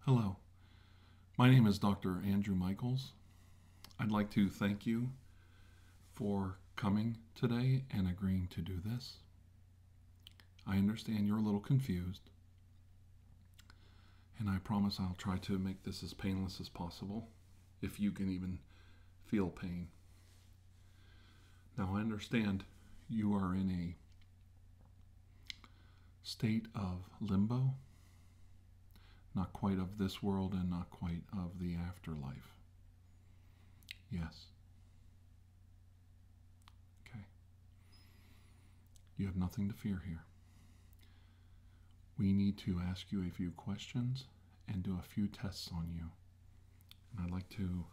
Hello, my name is Dr. Andrew Michaels. I'd like to thank you for coming today and agreeing to do this. I understand you're a little confused and I promise I'll try to make this as painless as possible, if you can even feel pain. Now, I understand you are in a state of limbo, not quite of this world and not quite of the afterlife. Yes. Okay. You have nothing to fear here. We need to ask you a few questions and do a few tests on you. And I'd like to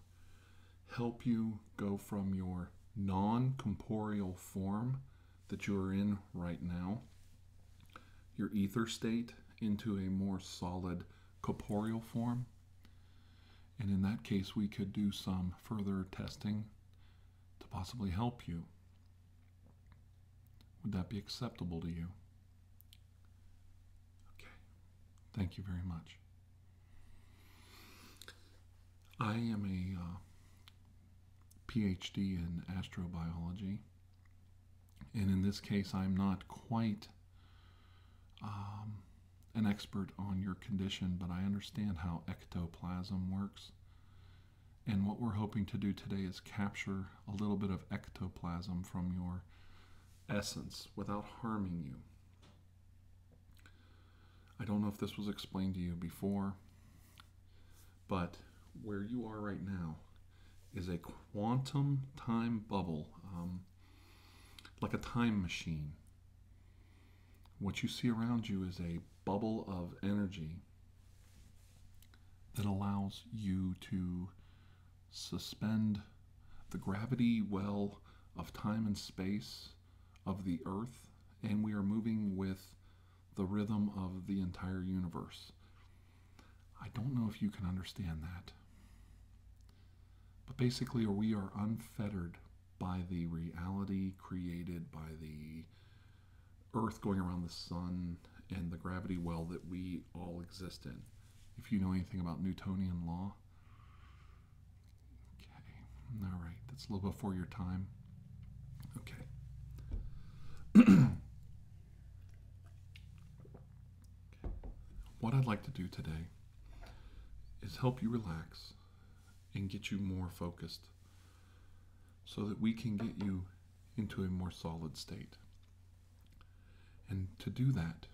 help you go from your non corporeal form that you are in right now, your ether state, into a more solid corporeal form. And in that case, we could do some further testing to possibly help you? Would that be acceptable to you? Okay. Thank you very much. I am a uh, PhD in astrobiology, and in this case, I'm not quite um, an expert on your condition, but I understand how ectoplasm works and what we're hoping to do today is capture a little bit of ectoplasm from your essence without harming you. I don't know if this was explained to you before, but where you are right now is a quantum time bubble, um, like a time machine. What you see around you is a bubble of energy that allows you to suspend the gravity well of time and space of the earth, and we are moving with the rhythm of the entire universe. I don't know if you can understand that. But basically, we are unfettered by the reality created by the Earth going around the sun and the gravity well that we all exist in. If you know anything about Newtonian law, okay, all right, that's a little before your time. Okay. what I'd like to do today is help you relax and get you more focused so that we can get you into a more solid state. And to do that,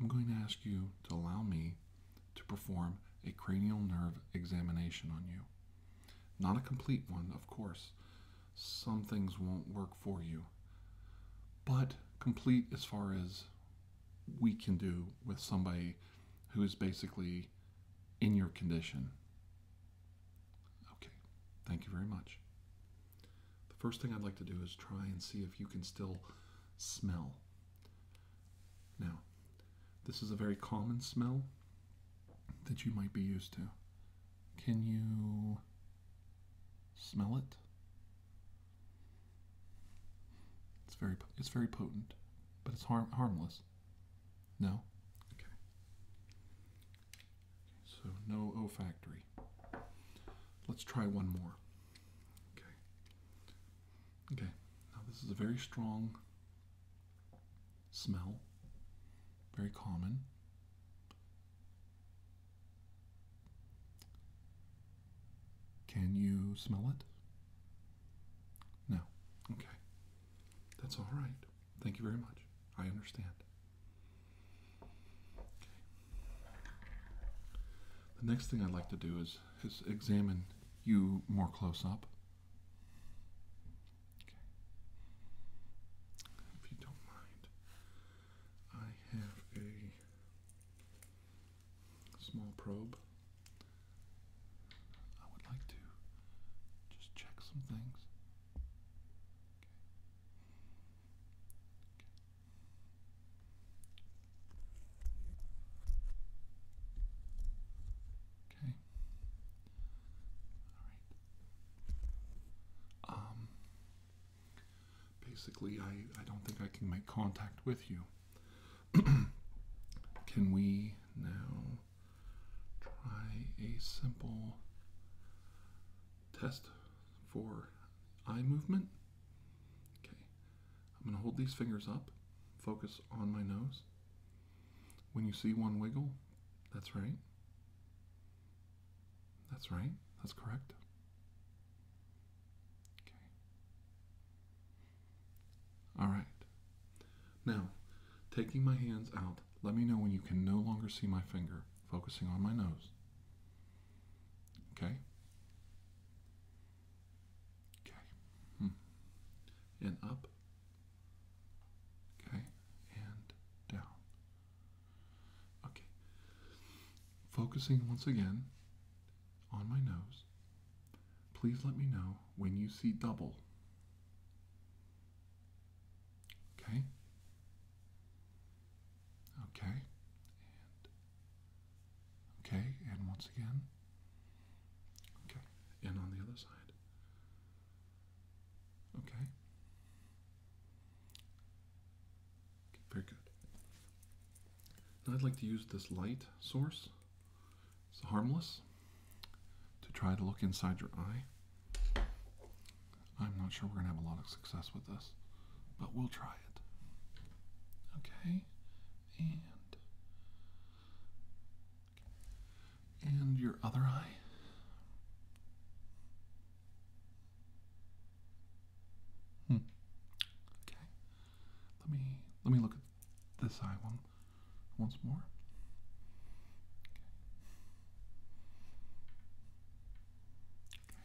I'm going to ask you to allow me to perform a cranial nerve examination on you. Not a complete one, of course. Some things won't work for you, but complete as far as we can do with somebody who is basically in your condition. Okay, thank you very much. The first thing I'd like to do is try and see if you can still smell. Now, this is a very common smell that you might be used to. Can you smell it? It's very it's very potent, but it's harmless. No? Okay. So no olfactory. Let's try one more. Okay. Okay. Now this is a very strong smell. Very common. Can you smell it? No. Okay. That's all right. Thank you very much. I understand. Okay. The next thing I'd like to do is, is examine you more close up. Okay. If you don't mind, I have a small probe. I would like to just check some things. Okay. All right. Um. Basically, I I don't think I can make contact with you. Can we now try a simple test for eye movement? Okay, I'm going to hold these fingers up, focus on my nose. When you see one wiggle, that's right. That's right. That's correct. Okay. All right. Now, taking my hands out, let me know when you can no longer see my finger, focusing on my nose. Okay? Okay. Hmm. And up. Okay. And down. Okay. Focusing once again on my nose. Please let me know when you see double. Okay? Okay. And okay, and once again. Okay. And on the other side. Okay. Okay, very good. Now I'd like to use this light source it's harmless to try to look inside your eye. I'm not sure we're going to have a lot of success with this, but we'll try it. Okay, and and your other eye. Hmm. Okay. Let me let me look at this eye one once more. Okay.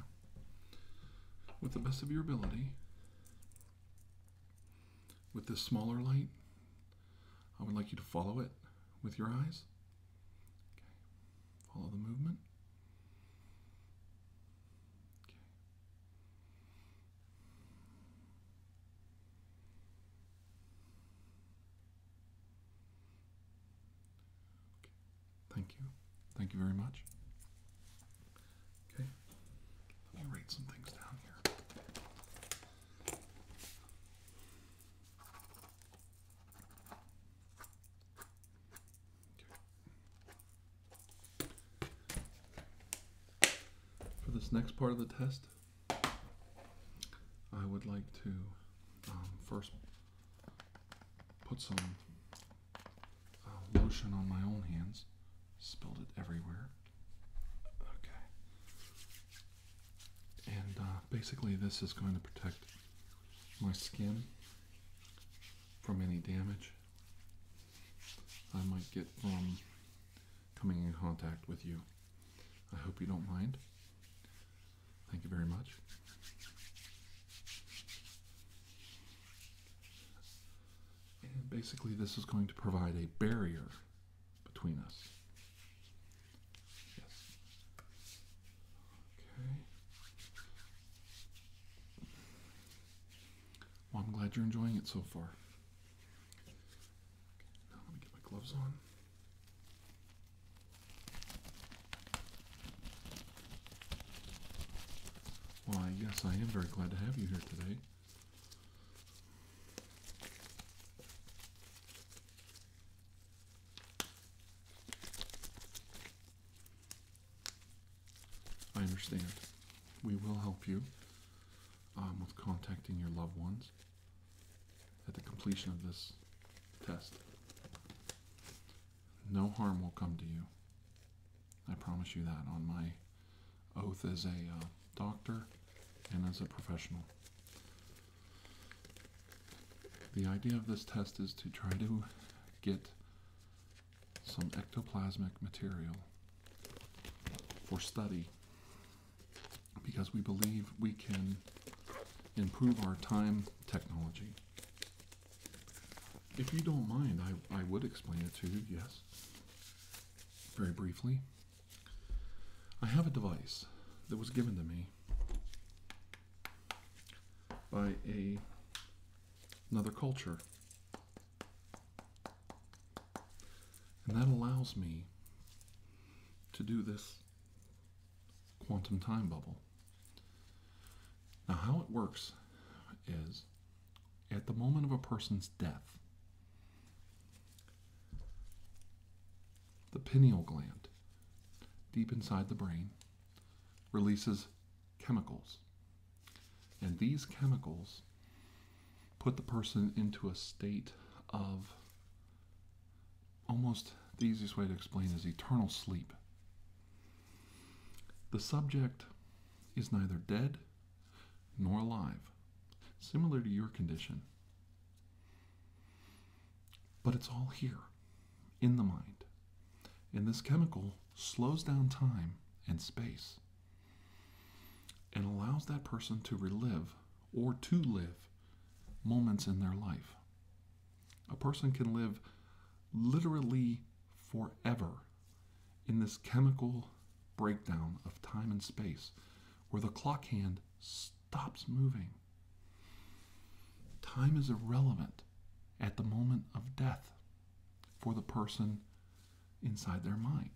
okay. with the best of your ability, with this smaller light, I would like you to follow it with your eyes. Okay. Follow the movement. Okay. Thank you. Thank you very much. Okay. Let me write some things down here. Okay. For this next part of the test, I would like to um, first put some uh, lotion on my own hands. Spilled it everywhere. Okay. And uh, basically this is going to protect my skin from any damage I might get from um, coming in contact with you. I hope you don't mind. Thank you very much. And basically, this is going to provide a barrier between us. Yes. Okay. Well, I'm glad you're enjoying it so far. Well, I guess I am very glad to have you here today. I understand we will help you um, with contacting your loved ones at the completion of this test. No harm will come to you. I promise you that on my oath as a uh, doctor and as a professional. The idea of this test is to try to get some ectoplasmic material for study because we believe we can improve our time technology. If you don't mind, I, I would explain it to you, yes, very briefly. I have a device that was given to me by a, another culture and that allows me to do this quantum time bubble. Now, how it works is at the moment of a person's death, the pineal gland deep inside the brain releases chemicals and these chemicals put the person into a state of almost the easiest way to explain is eternal sleep. The subject is neither dead nor alive, similar to your condition. But it's all here, in the mind. And this chemical slows down time and space. It allows that person to relive or to live moments in their life. A person can live literally forever in this chemical breakdown of time and space where the clock hand stops moving. Time is irrelevant at the moment of death for the person inside their mind.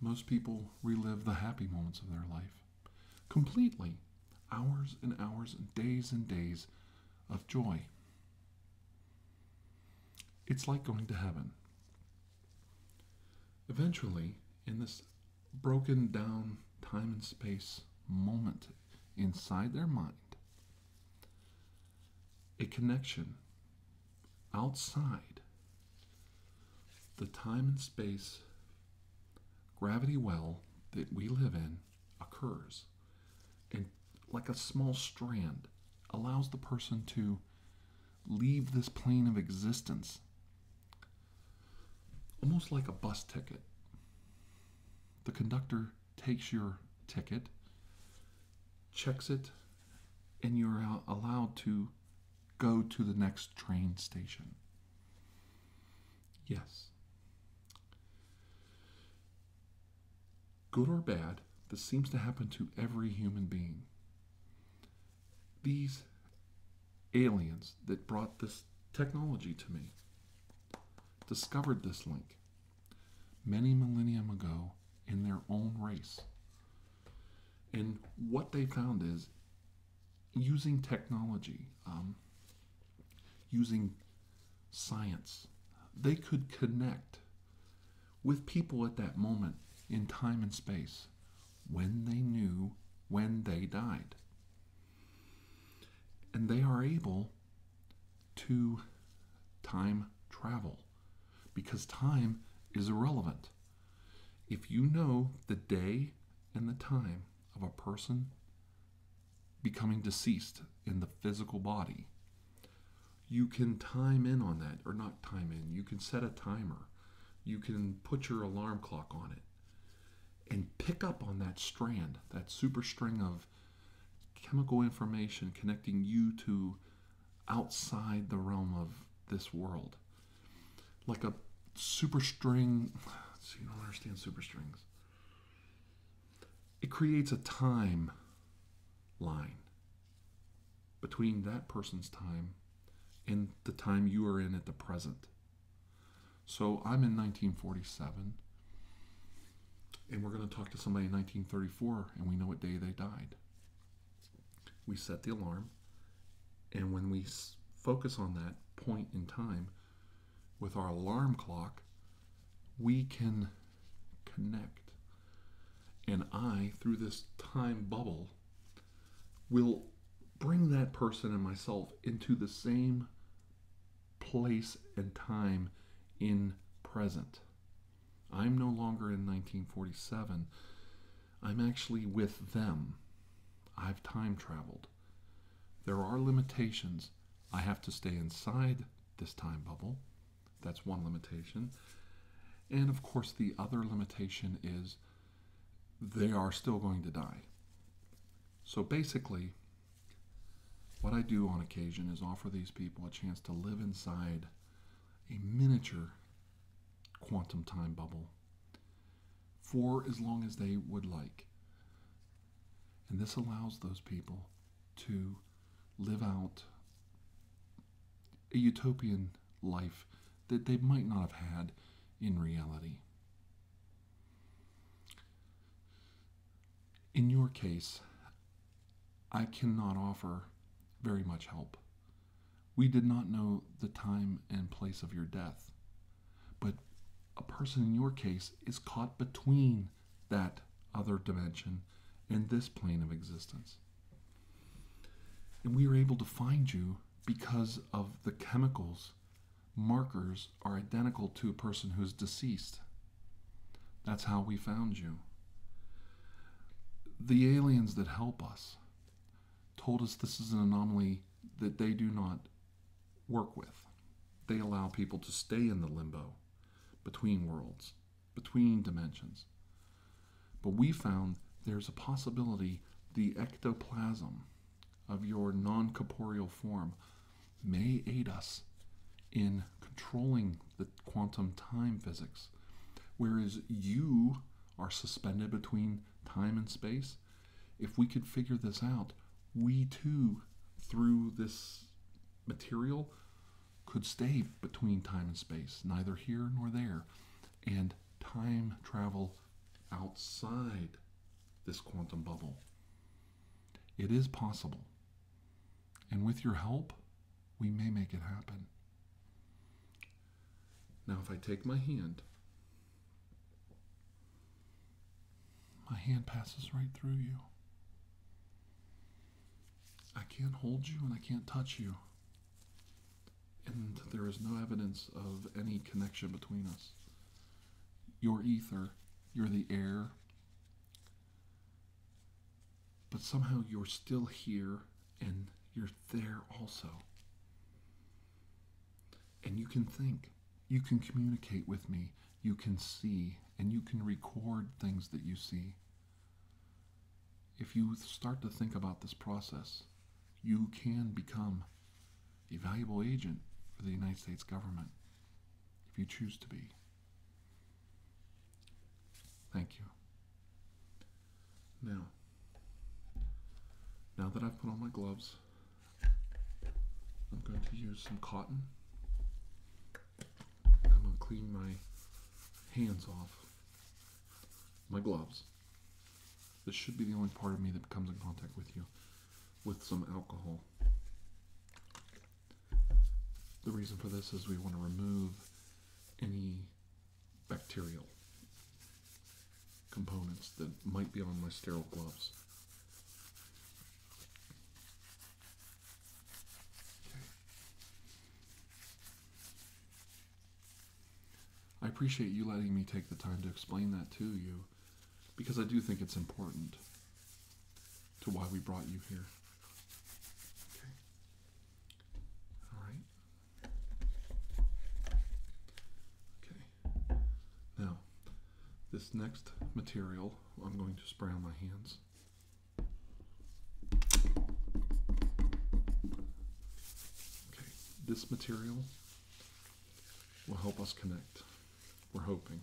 Most people relive the happy moments of their life completely, hours and hours and days and days of joy. It's like going to heaven. Eventually, in this broken down time and space moment inside their mind, a connection outside the time and space gravity well that we live in occurs and like a small strand allows the person to leave this plane of existence almost like a bus ticket the conductor takes your ticket, checks it, and you're allowed to go to the next train station. Yes. Good or bad, this seems to happen to every human being. These aliens that brought this technology to me discovered this link many millennium ago in their own race. And what they found is using technology, um, using science, they could connect with people at that moment in time and space when they knew when they died. And they are able to time travel because time is irrelevant. If you know the day and the time of a person becoming deceased in the physical body, you can time in on that, or not time in, you can set a timer, you can put your alarm clock on it, and pick up on that strand, that super string of chemical information connecting you to outside the realm of this world. Like a super string. So you don't understand super strings. It creates a time line between that person's time and the time you are in at the present. So I'm in 1947 and we're going to talk to somebody in 1934 and we know what day they died. We set the alarm, and when we focus on that point in time with our alarm clock, we can connect. And I, through this time bubble, will bring that person and myself into the same place and time in present. I'm no longer in 1947. I'm actually with them. I've time traveled. There are limitations. I have to stay inside this time bubble. That's one limitation. And of course, the other limitation is they are still going to die. So basically, what I do on occasion is offer these people a chance to live inside a miniature quantum time bubble for as long as they would like. And this allows those people to live out a utopian life that they might not have had in reality. In your case, I cannot offer very much help. We did not know the time and place of your death, but a person in your case is caught between that other dimension and this plane of existence. And we are able to find you because of the chemicals markers are identical to a person who's deceased. That's how we found you. The aliens that help us told us this is an anomaly that they do not work with. They allow people to stay in the limbo between worlds, between dimensions. But we found there's a possibility the ectoplasm of your non corporeal form may aid us in controlling the quantum time physics. Whereas you are suspended between time and space. If we could figure this out, we too, through this material, could stay between time and space, neither here nor there. And time travel outside this quantum bubble. It is possible. And with your help, we may make it happen. Now, if I take my hand, my hand passes right through you. I can't hold you and I can't touch you. And there is no evidence of any connection between us. You're ether, you're the air, but somehow you're still here and you're there also. And you can think, you can communicate with me, you can see, and you can record things that you see. If you start to think about this process, you can become a valuable agent for the United States government if you choose to be. Thank you. Now, now that I've put on my gloves, I'm going to use some cotton. I'm going to clean my hands off my gloves. This should be the only part of me that comes in contact with you with some alcohol. The reason for this is we want to remove any bacterial components that might be on my sterile gloves. I appreciate you letting me take the time to explain that to you because I do think it's important to why we brought you here. Okay. All right. Okay. Now, this next material I'm going to spray on my hands. Okay, this material will help us connect. We're hoping.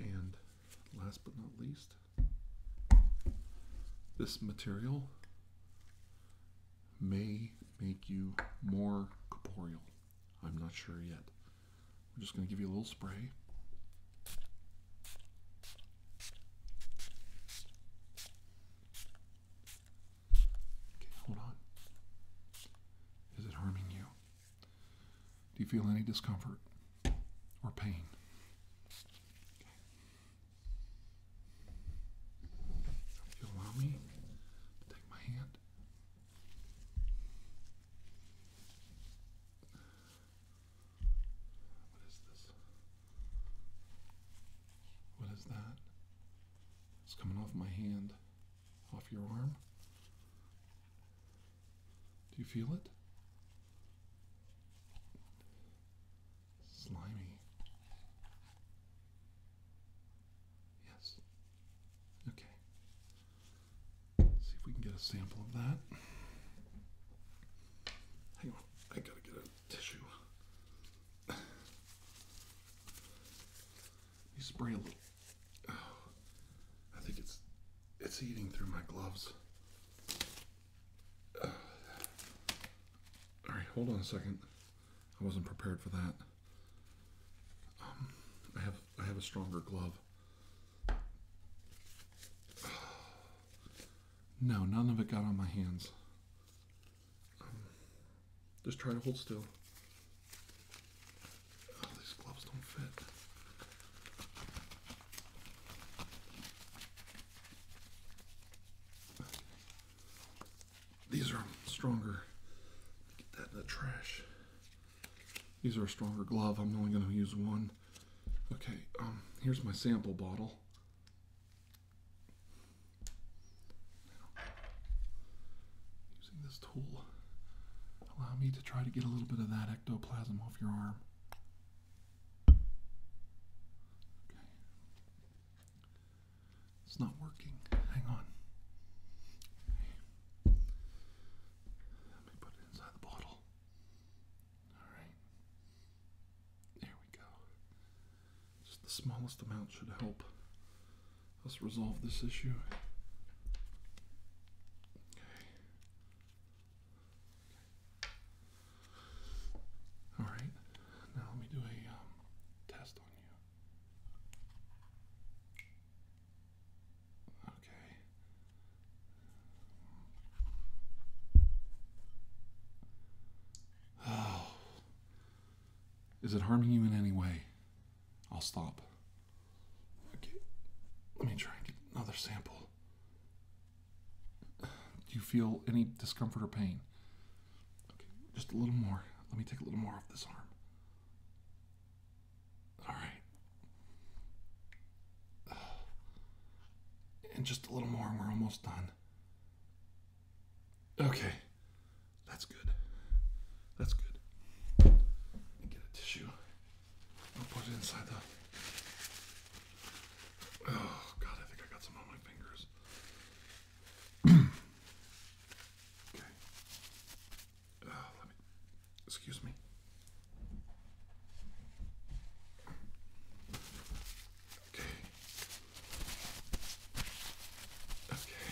And last but not least, this material may make you more corporeal. I'm not sure yet. I'm just going to give you a little spray. Okay, hold on. Is it harming you? Do you feel any discomfort or pain? Okay. you allow me to take my hand. What is this? What is that? It's coming off my hand off your arm. Do you feel it? Slimy. Yes. Okay. see if we can get a sample of that. Hang on, I gotta get a tissue. You spray a little. I think it's it's eating through my gloves. all right, hold on a second. I wasn't prepared for that. Um, I have I have a stronger glove. No, none of it got on my hands just try to hold still. Oh, these gloves don't fit. These are stronger. Get that in the trash. These are a stronger glove. I'm only going to use one. Okay, um, here's my sample bottle using this tool, allow me to try to get a little bit of that ectoplasm off your arm. Okay. It's not working. Hang on. Let me put it inside the bottle. All right. There we go. Just the smallest amount should help us resolve this issue. Okay. Alright, now let me do a um, test on you. Okay. Oh, is it harming you in any way? I'll stop. Okay, let me try and get another sample. Do you feel any discomfort or pain? Okay, just a little more. Let me take a little more off this arm. All right. And just a little more, and we're almost done. Okay. That's good. That's good. Get a tissue. I'll put it inside the. Oh, God, I think I got some on my fingers. okay. Ah, excuse me. Okay. Okay.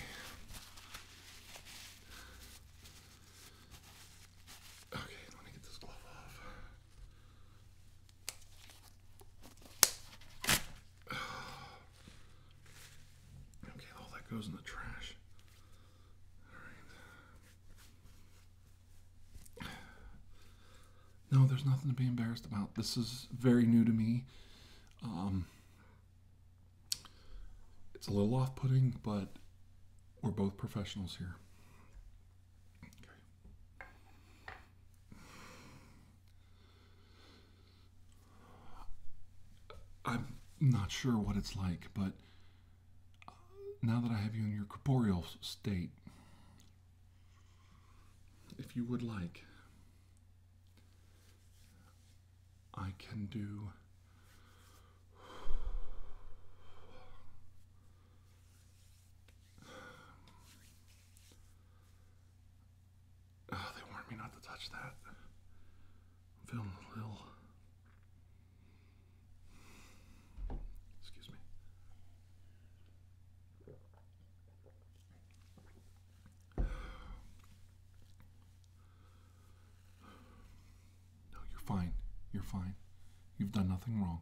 Okay, let me get this glove off. Okay, all that goes in the trash. All right. No, there's nothing to be embarrassed about. This is very new to me. Um, it's a little off putting, but we're both professionals here. I'm not sure what it's like, but uh, now that I have you in your corporeal state, if you would like, I can do oh, they warned me not to touch that. I'm feeling a little excuse me. No, you're fine. You're fine. You've done nothing wrong.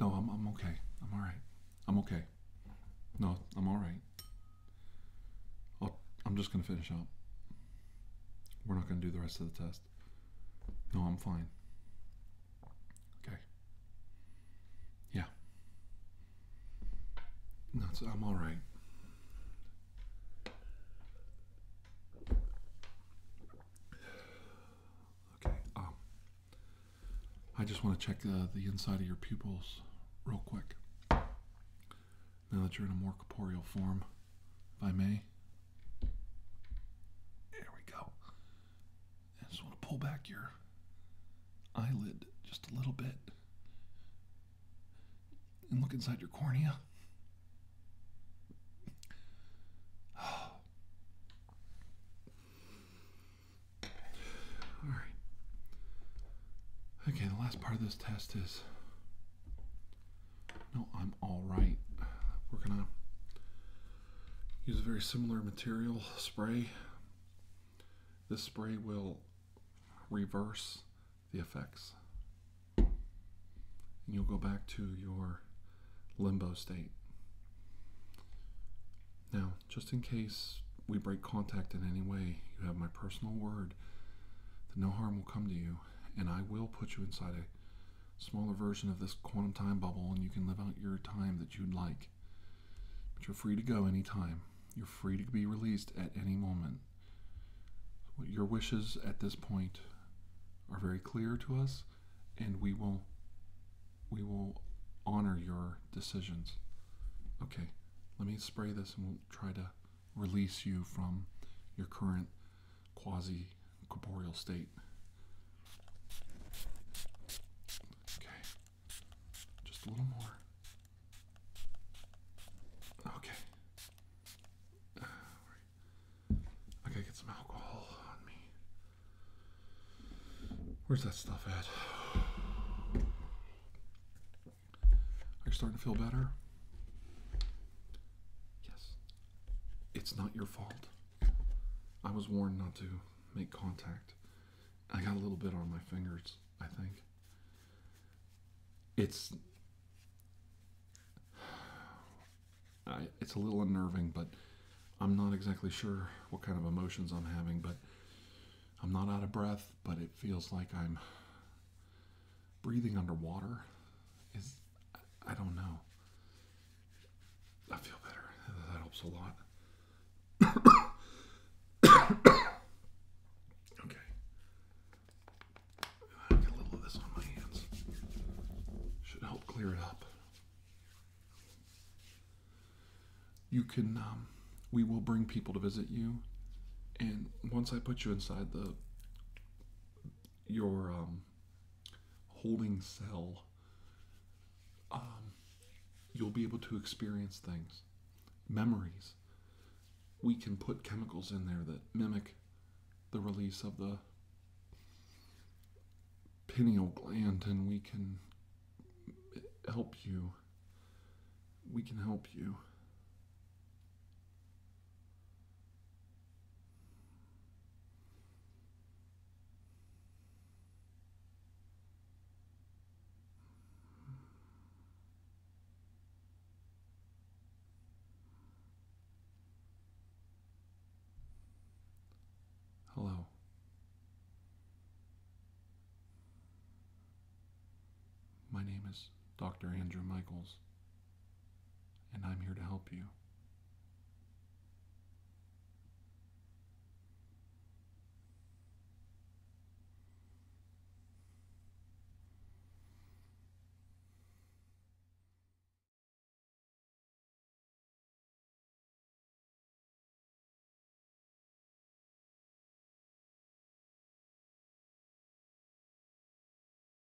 No, I'm, okay. I'm all right. I'm okay. No, I'm all I'll, I'm just going to finish up. We're not going to do the rest of the test. No, I'm fine. Okay. Yeah. I'm all right. Okay. Um, I just want to check uh, the inside of your pupils real quick. Now that you're in a more corporeal form, if I may. There we go. I just want to pull back your eyelid just a little bit and look inside your cornea. All right. Okay, the last part of this test is no, I'm all right. We're going to use a very similar material spray. This spray will reverse the effects. And you'll go back to your limbo state. Now, just in case we break contact in any way, you have my personal word that no harm will come to you, and I will put you inside a smaller version of this quantum time bubble, and you can live out your time that you'd like. But you're free to go anytime. You're free to be released at any moment. Your wishes at this point are very clear to us, and we will we will honor your decisions. Okay, let me spray this and we'll try to release you from your current quasi corporeal state. Okay, just a little more. Okay. I gotta get some alcohol on me. Where's that stuff at? Are you starting to feel better? Yes. It's not your fault. I was warned not to make contact. I got a little bit on my fingers, I think. It's it's a little unnerving, but I'm not exactly sure what kind of emotions I'm having, but I'm not out of breath, but it feels like I'm breathing underwater is I don't know. I feel better. That helps a lot. okay. get a little of this on my hands. Should help clear it up. You can, um, we will bring people to visit you. And once I put you inside the, your, um, holding cell, um, you'll be able to experience things, memories. We can put chemicals in there that mimic the release of the pineal gland, and we can help you. We can help you. Hello. My name is Dr. Andrew Michaels and I'm here to help you.